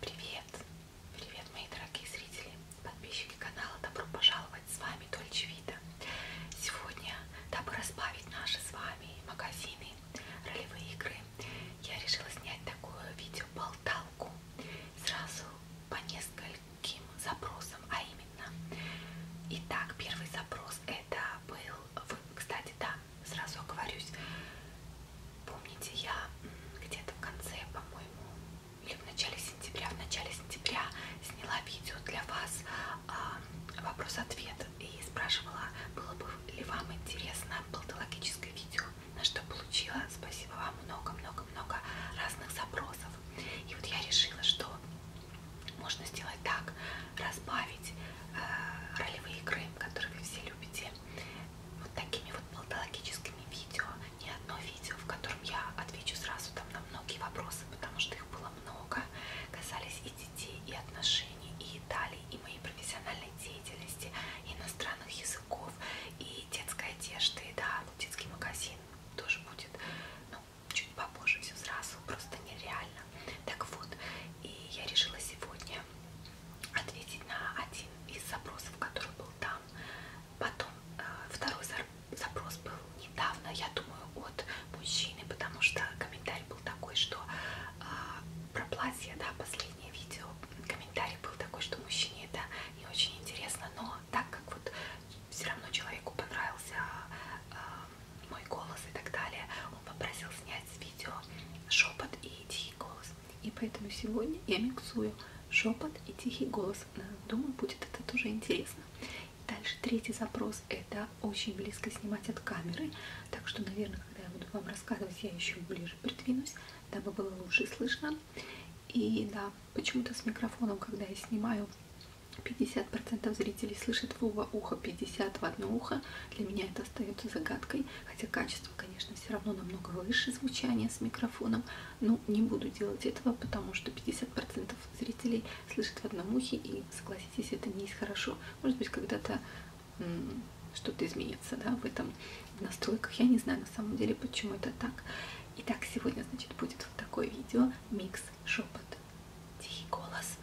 Привет! Привет, мои дорогие зрители, подписчики канала, добро пожаловать! С вами Дольче Вита. Сегодня, дабы разбавить наши с вами магазины, ролевые игры, я решила снять такое видео-болталку сразу по нескольким запросам, а именно. Итак, первый запрос это был, кстати, да, сразу оговорюсь. Помните, я где-то в конце, по-моему, или в начале сентября, в начале сентября сняла видео для вас э, вопрос-ответ и спрашивала, было бы ли вам интересно болтологическое видео, на что получила, спасибо вам, много-много-много разных запросов. И вот я решила, что можно сделать так, разбавить э, ролевые игры, которые вы все любите, вот такими вот болтологическими видео, не одно видео, в котором я отвечу сразу там на многие вопросы, потому что их было много, касались и детей, и отношений, и Италии, и моей профессиональной деятельности, и иностранных языков, и детской одежды, да, ну, детский магазин тоже будет, ну, чуть попозже все сразу, просто нереально. Так вот, и я решила сегодня ответить на один из запросов, который был там. Потом э, второй запрос был недавно, я думаю, от мужчины, потому что комментарий был такой, что э, про платье, да, последнее видео, комментарий был такой, что мужчине это не очень интересно, но так как вот все равно человеку понравился э, мой голос и так далее, он попросил снять с видео шепот и тихий голос. И поэтому сегодня я миксую шепот и тихий голос. Думаю, будет это тоже интересно. Дальше третий запрос это очень близко снимать от камеры. Так что, наверное, когда я буду вам рассказывать, я еще ближе придвинусь, дабы было лучше слышно. И да, почему-то с микрофоном, когда я снимаю, 50% зрителей слышит в оба уха, 50% в одно ухо. Для меня это остается загадкой, хотя качество качество, конечно, все равно намного выше звучания с микрофоном, но ну, не буду делать этого, потому что 50% зрителей слышат в одном ухе, и, согласитесь, это не есть хорошо. Может быть, когда-то что-то изменится, да, в этом в настройках. Я не знаю, на самом деле, почему это так. Итак, сегодня, значит, будет вот такое видео, микс, шепот, тихий голос.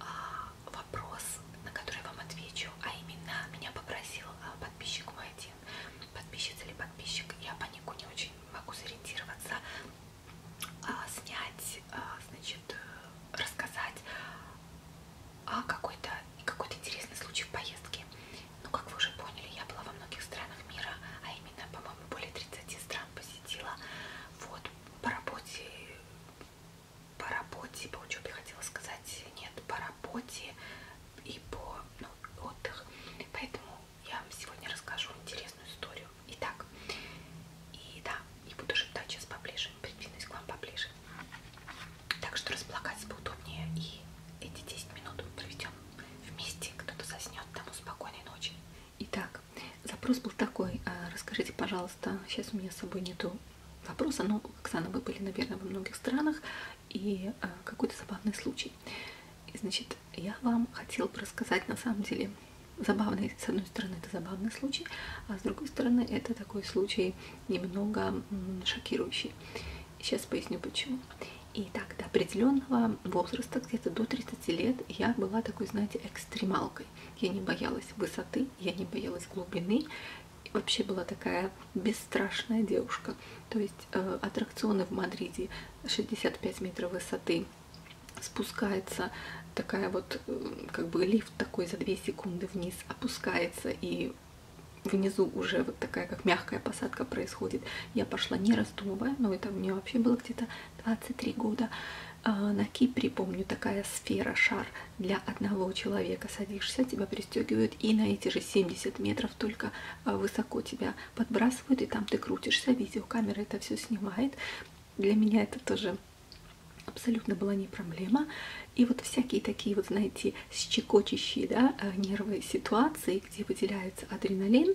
А, вопрос, на который я вам отвечу, а именно меня попросил а, подписчик мой один, подписчица или подписчик, я по нику не очень могу сориентироваться, а, снять, а, значит, э, рассказать о какой-то какой-то интересный случай в поездке. Ну, как вы уже поняли, я была во многих странах мира, а именно, по-моему, более 30 стран посетила. Вот, по работе по работе, по учебе хотела сказать, нет, по работе и по ну, отдых. Поэтому я вам сегодня расскажу интересную историю. Итак, и да, и буду шептать сейчас поближе, придвинусь к вам поближе. Так что располагаться поудобнее и эти 10 минут проведем вместе, кто-то заснет, тому спокойной ночи. Итак, запрос был такой, а, расскажите, пожалуйста, сейчас у меня с собой нету вопроса, но, Оксана, вы были, наверное, во многих странах, и э, какой-то забавный случай. И, значит, я вам хотела бы рассказать, на самом деле, забавный, с одной стороны, это забавный случай, а с другой стороны, это такой случай немного шокирующий. Сейчас поясню, почему. Итак, до определенного возраста, где-то до 30 лет, я была такой, знаете, экстремалкой. Я не боялась высоты, я не боялась глубины, вообще была такая бесстрашная девушка. То есть э, аттракционы в Мадриде 65 метров высоты, спускается такая вот, э, как бы лифт такой за 2 секунды вниз, опускается и внизу уже вот такая как мягкая посадка происходит. Я пошла не раздумывая, но ну, это мне вообще было где-то 23 года. А, на Кипре, помню, такая сфера, шар для одного человека. Садишься, тебя пристегивают, и на эти же 70 метров только а, высоко тебя подбрасывают, и там ты крутишься, видеокамера это все снимает. Для меня это тоже абсолютно была не проблема. И вот всякие такие, вот знаете, щекочущие да, э, нервы ситуации, где выделяется адреналин,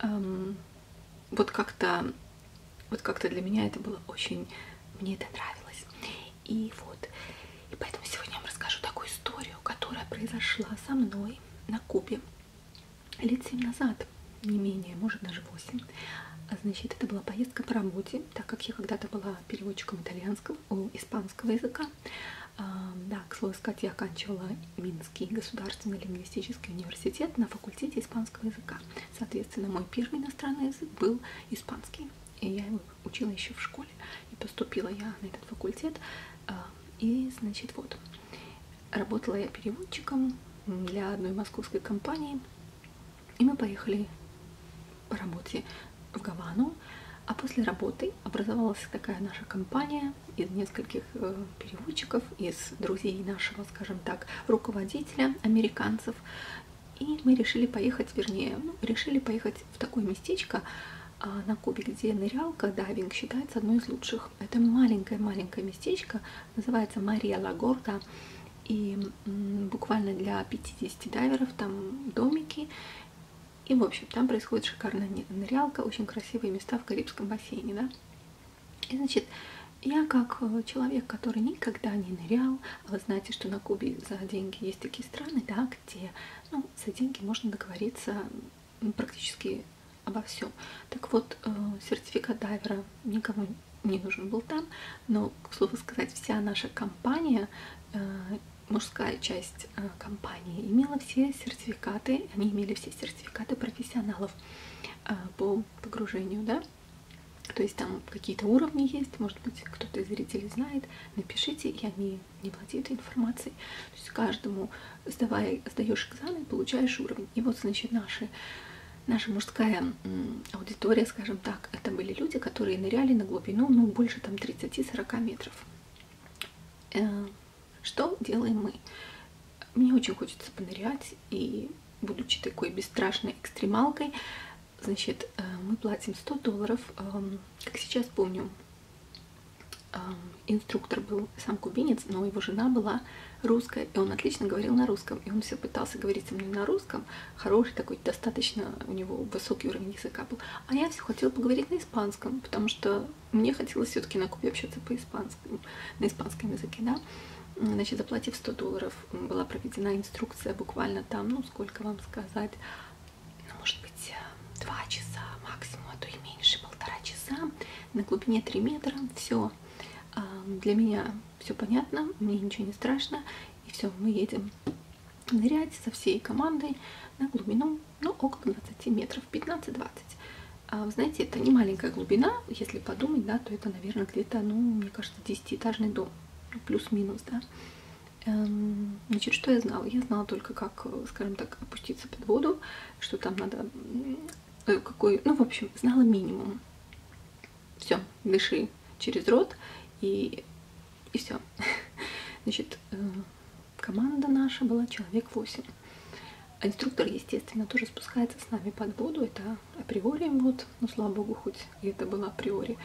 эм, вот как-то вот как-то для меня это было очень... Мне это нравилось. И вот. И поэтому сегодня я вам расскажу такую историю, которая произошла со мной на Кубе лет 7 назад, не менее, может даже 8. А, значит, это была поездка по работе, так как я когда-то была переводчиком итальянского, о, испанского языка. А, да, к слову сказать, я оканчивала Минский государственный лингвистический университет на факультете испанского языка. Соответственно, мой первый иностранный язык был испанский. И я его учила еще в школе. И поступила я на этот факультет. А, и, значит, вот. Работала я переводчиком для одной московской компании. И мы поехали по работе в Гавану. А после работы образовалась такая наша компания из нескольких э, переводчиков, из друзей нашего, скажем так, руководителя, американцев. И мы решили поехать, вернее, ну, решили поехать в такое местечко а, на Кубе, где нырялка, дайвинг считается одной из лучших. Это маленькое-маленькое местечко, называется Мария Лагорда. И м, буквально для 50 дайверов там домики. И, в общем, там происходит шикарная нырялка, очень красивые места в Карибском бассейне, да. И, значит, я как э, человек, который никогда не нырял, а вы знаете, что на Кубе за деньги есть такие страны, да, где ну, за деньги можно договориться практически обо всем. Так вот, э, сертификат дайвера никому не нужен был там, но, к слову сказать, вся наша компания, э, мужская часть компании, имела все сертификаты, они имели все сертификаты профессионалов по погружению, да, то есть там какие-то уровни есть, может быть, кто-то из зрителей знает, напишите, я не, не владею этой информацией. То есть каждому, сдавая, сдаешь экзамен, получаешь уровень. И вот, значит, наши, наша мужская аудитория, скажем так, это были люди, которые ныряли на глубину, ну, больше там 30-40 метров. Э, что делаем мы? Мне очень хочется понырять, и будучи такой бесстрашной экстремалкой, значит, э, мы платим 100 долларов, эм, как сейчас помню, эм, инструктор был сам кубинец, но его жена была русская, и он отлично говорил на русском, и он все пытался говорить со мной на русском, хороший такой, достаточно у него высокий уровень языка был, а я все хотела поговорить на испанском, потому что мне хотелось все-таки на Кубе общаться по-испанскому, на испанском языке, да, значит, заплатив 100 долларов была проведена инструкция буквально там, ну сколько вам сказать, ну, может быть, 2 э, часа максимум, а то и меньше, полтора часа, на глубине 3 метра, все, а, для меня все понятно, мне ничего не страшно, и все, мы едем нырять со всей командой на глубину, ну, около 20 метров, 15-20. А, вы знаете, это не маленькая глубина, если подумать, да, то это, наверное, где-то, ну, мне кажется, десятиэтажный дом, ну, плюс-минус, да. Эм, значит, что я знала? Я знала только, как, скажем так, опуститься под воду, что там надо, э, какой, ну, в общем, знала минимум. Все, дыши через рот и, и все. Значит, э, команда наша была человек 8. А инструктор, естественно, тоже спускается с нами под воду. Это априори мод, ну слава богу, хоть и это было априори.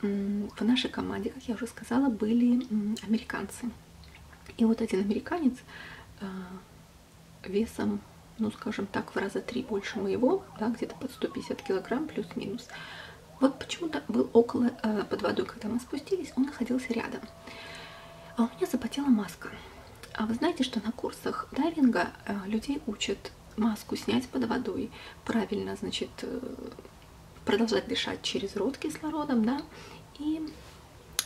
В нашей команде, как я уже сказала, были американцы. И вот один американец а, весом, ну скажем так, в раза три больше моего, да, где-то под 150 килограмм плюс-минус. Вот почему-то был около, э, под водой, когда мы спустились, он находился рядом. А у меня запотела маска. А вы знаете, что на курсах дайвинга э, людей учат маску снять под водой, правильно, значит, э, продолжать дышать через рот кислородом, да, и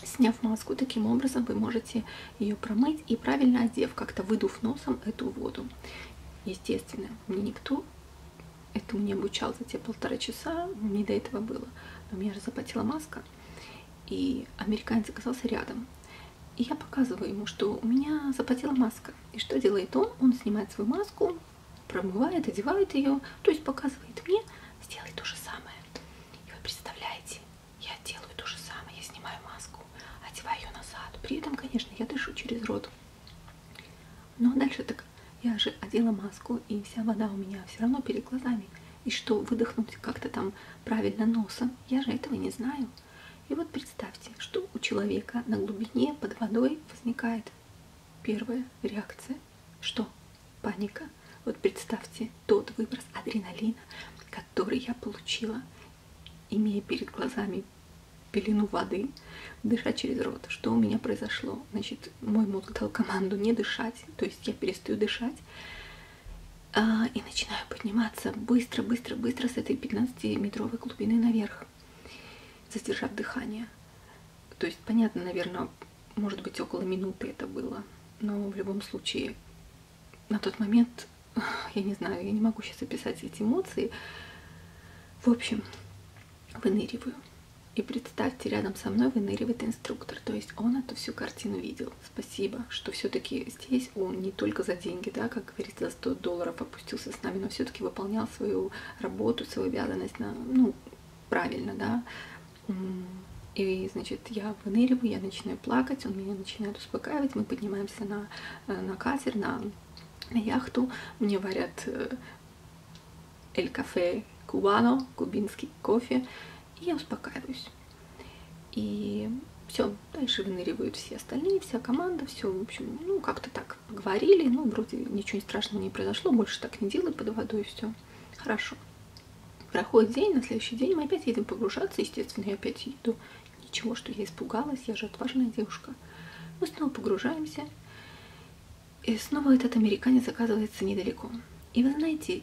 сняв маску, таким образом вы можете ее промыть и правильно одев, как-то выдув носом эту воду. Естественно, мне никто этому не обучал за те полтора часа, не до этого было. Но у меня же запотела маска, и американец оказался рядом. И я показываю ему, что у меня запотела маска. И что делает он? Он снимает свою маску, промывает, одевает ее, то есть показывает мне, сделай то же самое. И вы представляете, я делаю то же самое, я снимаю маску, одеваю ее назад. При этом, конечно, я дышу через рот. Но дальше так, я же одела маску, и вся вода у меня все равно перед глазами и что выдохнуть как-то там правильно носом, я же этого не знаю. И вот представьте, что у человека на глубине под водой возникает первая реакция. Что? Паника. Вот представьте тот выброс адреналина, который я получила, имея перед глазами пелену воды, дыша через рот. Что у меня произошло? Значит, мой мозг дал команду не дышать, то есть я перестаю дышать, а, и начинаю подниматься быстро, быстро, быстро с этой 15-метровой глубины наверх, задержав дыхание. То есть, понятно, наверное, может быть, около минуты это было, но в любом случае, на тот момент, я не знаю, я не могу сейчас описать эти эмоции. В общем, выныриваю. И представьте, рядом со мной выныривает инструктор, то есть он эту всю картину видел спасибо, что все-таки здесь он не только за деньги, да, как говорится, за 100 долларов опустился с нами, но все-таки выполнял свою работу, свою обязанность на, ну, правильно, да. И, значит, я выныриваю, я начинаю плакать, он меня начинает успокаивать, мы поднимаемся на, э, на катер, на, на яхту, мне варят э, эль кафе кубано, кубинский кофе, и я успокаиваюсь. И все, дальше выныривают все остальные, вся команда, все, в общем, ну, как-то так поговорили, ну, вроде ничего страшного не произошло, больше так не делай под водой, все, хорошо. Проходит день, на следующий день мы опять едем погружаться, естественно, я опять еду. Ничего, что я испугалась, я же отважная девушка. Мы снова погружаемся, и снова этот американец оказывается недалеко. И вы знаете,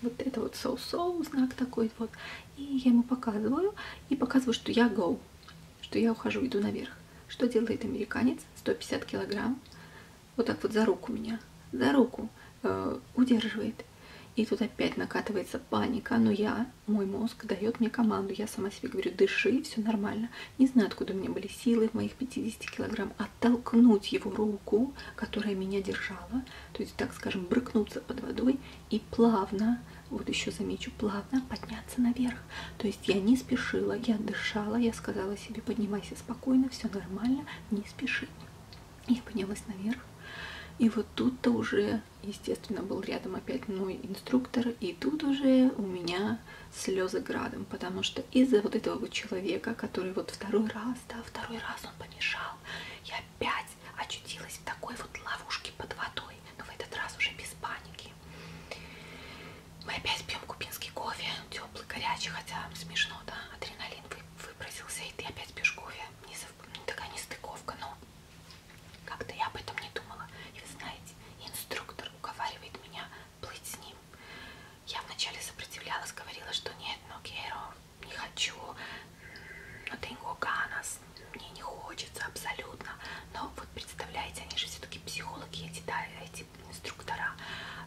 вот это вот соу-соу, so -so, знак такой вот. И я ему показываю, и показываю, что я go, что я ухожу, иду наверх. Что делает американец? 150 килограмм. Вот так вот за руку меня, за руку э, удерживает. И тут опять накатывается паника, но я, мой мозг дает мне команду. Я сама себе говорю, дыши, все нормально. Не знаю, откуда у меня были силы в моих 50 килограмм оттолкнуть его руку, которая меня держала, то есть, так скажем, брыкнуться под водой и плавно, вот еще замечу, плавно подняться наверх. То есть я не спешила, я дышала, я сказала себе, поднимайся спокойно, все нормально, не спеши. Я поднялась наверх. И вот тут-то уже, естественно, был рядом опять мой инструктор, и тут уже у меня слезы градом, потому что из-за вот этого вот человека, который вот второй раз, да, второй раз он помешал, я опять очутилась в такой вот ловушке под водой, но в этот раз уже без паники. Мы опять пьем кубинский кофе, теплый, горячий, хотя смешно, да, адреналин выбросился, и ты опять пьешь кофе. Не зав... Такая нестыковка, но как-то я об этом не думала. И вы знаете, инструктор уговаривает меня плыть с ним. Я вначале сопротивлялась, говорила, что нет, но no, не хочу, но tengo ganas, мне не хочется абсолютно. Но вот представляете, они же все-таки психологи, эти, да, эти инструктора,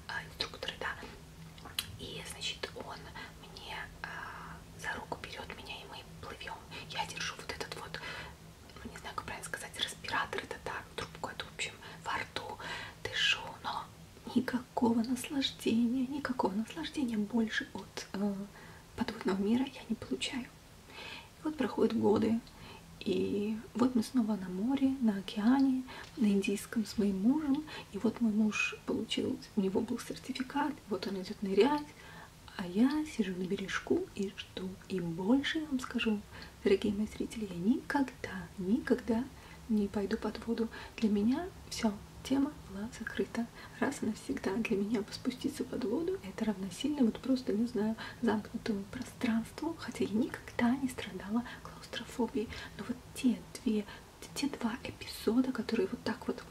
э, инструкторы, да. И, значит, он мне э, за руку берет меня, и мы плывем. Я держу вот этот вот, ну, не знаю, как правильно сказать, респиратор, это так, трубку эту, в общем, во рту дышу, но никак никакого наслаждения, никакого наслаждения больше от э, подводного мира я не получаю. И вот проходят годы, и вот мы снова на море, на океане, на индийском с моим мужем, и вот мой муж получил, у него был сертификат, вот он идет нырять, а я сижу на бережку и жду. И больше я вам скажу, дорогие мои зрители, я никогда, никогда не пойду под воду. Для меня все, тема была закрыта. Раз и навсегда для меня спуститься под воду это равносильно, вот просто, не знаю, замкнутому пространству, хотя я никогда не страдала клаустрофобией. Но вот те две, те два эпизода, которые вот так вот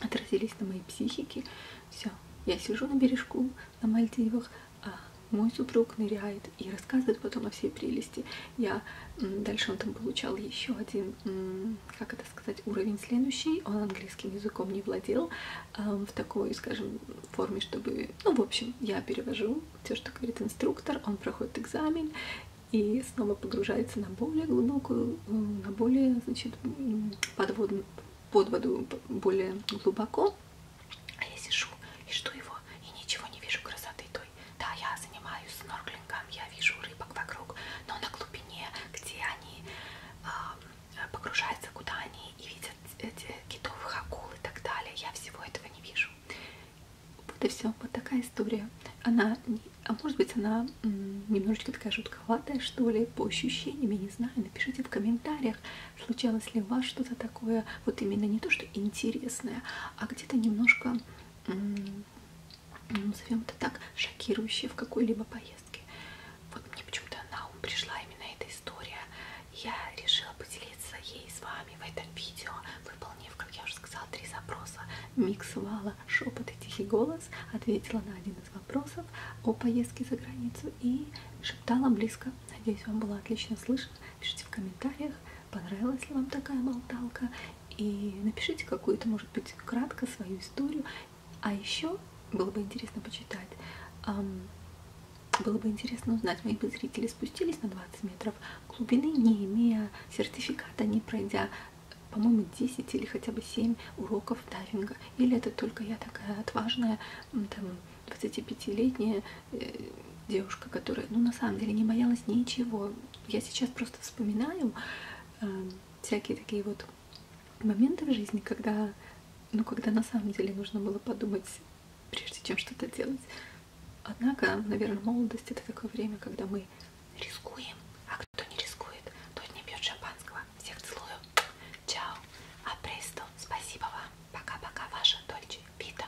отразились на моей психике, все, я сижу на бережку на Мальдивах, а мой супруг ныряет и рассказывает потом о всей прелести. Я дальше он там получал еще один как это сказать, уровень следующий, он английским языком не владел в такой, скажем, форме, чтобы, ну, в общем, я перевожу все, что говорит инструктор, он проходит экзамен и снова погружается на более глубокую, на более, значит, под воду, под воду более глубоко. А я сижу и жду его, и ничего не вижу красоты той. Да, я занимаюсь снорклингом, я вижу рыбок вокруг, но на глубине, где они э, погружаются, куда они и видят эти китовых акул и так далее, я всего этого не вижу. Вот и все, вот такая история. Она, а может быть, она немножечко такая жутковатая, что ли, по ощущениям, я не знаю. Напишите в комментариях, случалось ли у вас что-то такое, вот именно не то, что интересное, а где-то немножко назовем это так, шокирующие в какой-либо поездке. Вот мне почему-то на ум пришла именно эта история. Я решила поделиться ей с вами в этом видео, выполнив, как я уже сказала, три запроса. Миксовала шепот и тихий голос, ответила на один из вопросов о поездке за границу и шептала близко. Надеюсь, вам было отлично слышно. Пишите в комментариях, понравилась ли вам такая болталка и напишите какую-то, может быть, кратко свою историю. А еще было бы интересно почитать. Было бы интересно узнать, мои бы зрители спустились на 20 метров глубины, не имея сертификата, не пройдя, по-моему, 10 или хотя бы 7 уроков дайвинга. Или это только я такая отважная, там, 25-летняя э, девушка, которая, ну, на самом деле не боялась ничего, я сейчас просто вспоминаю э, всякие такие вот моменты в жизни, когда, ну, когда на самом деле нужно было подумать, прежде чем что-то делать. Однако, наверное, молодость это такое время, когда мы рискуем, а кто не рискует, тот не пьет шампанского. Всех целую. Чао. А престо. Спасибо вам. Пока-пока. Ваша Дольче Пита.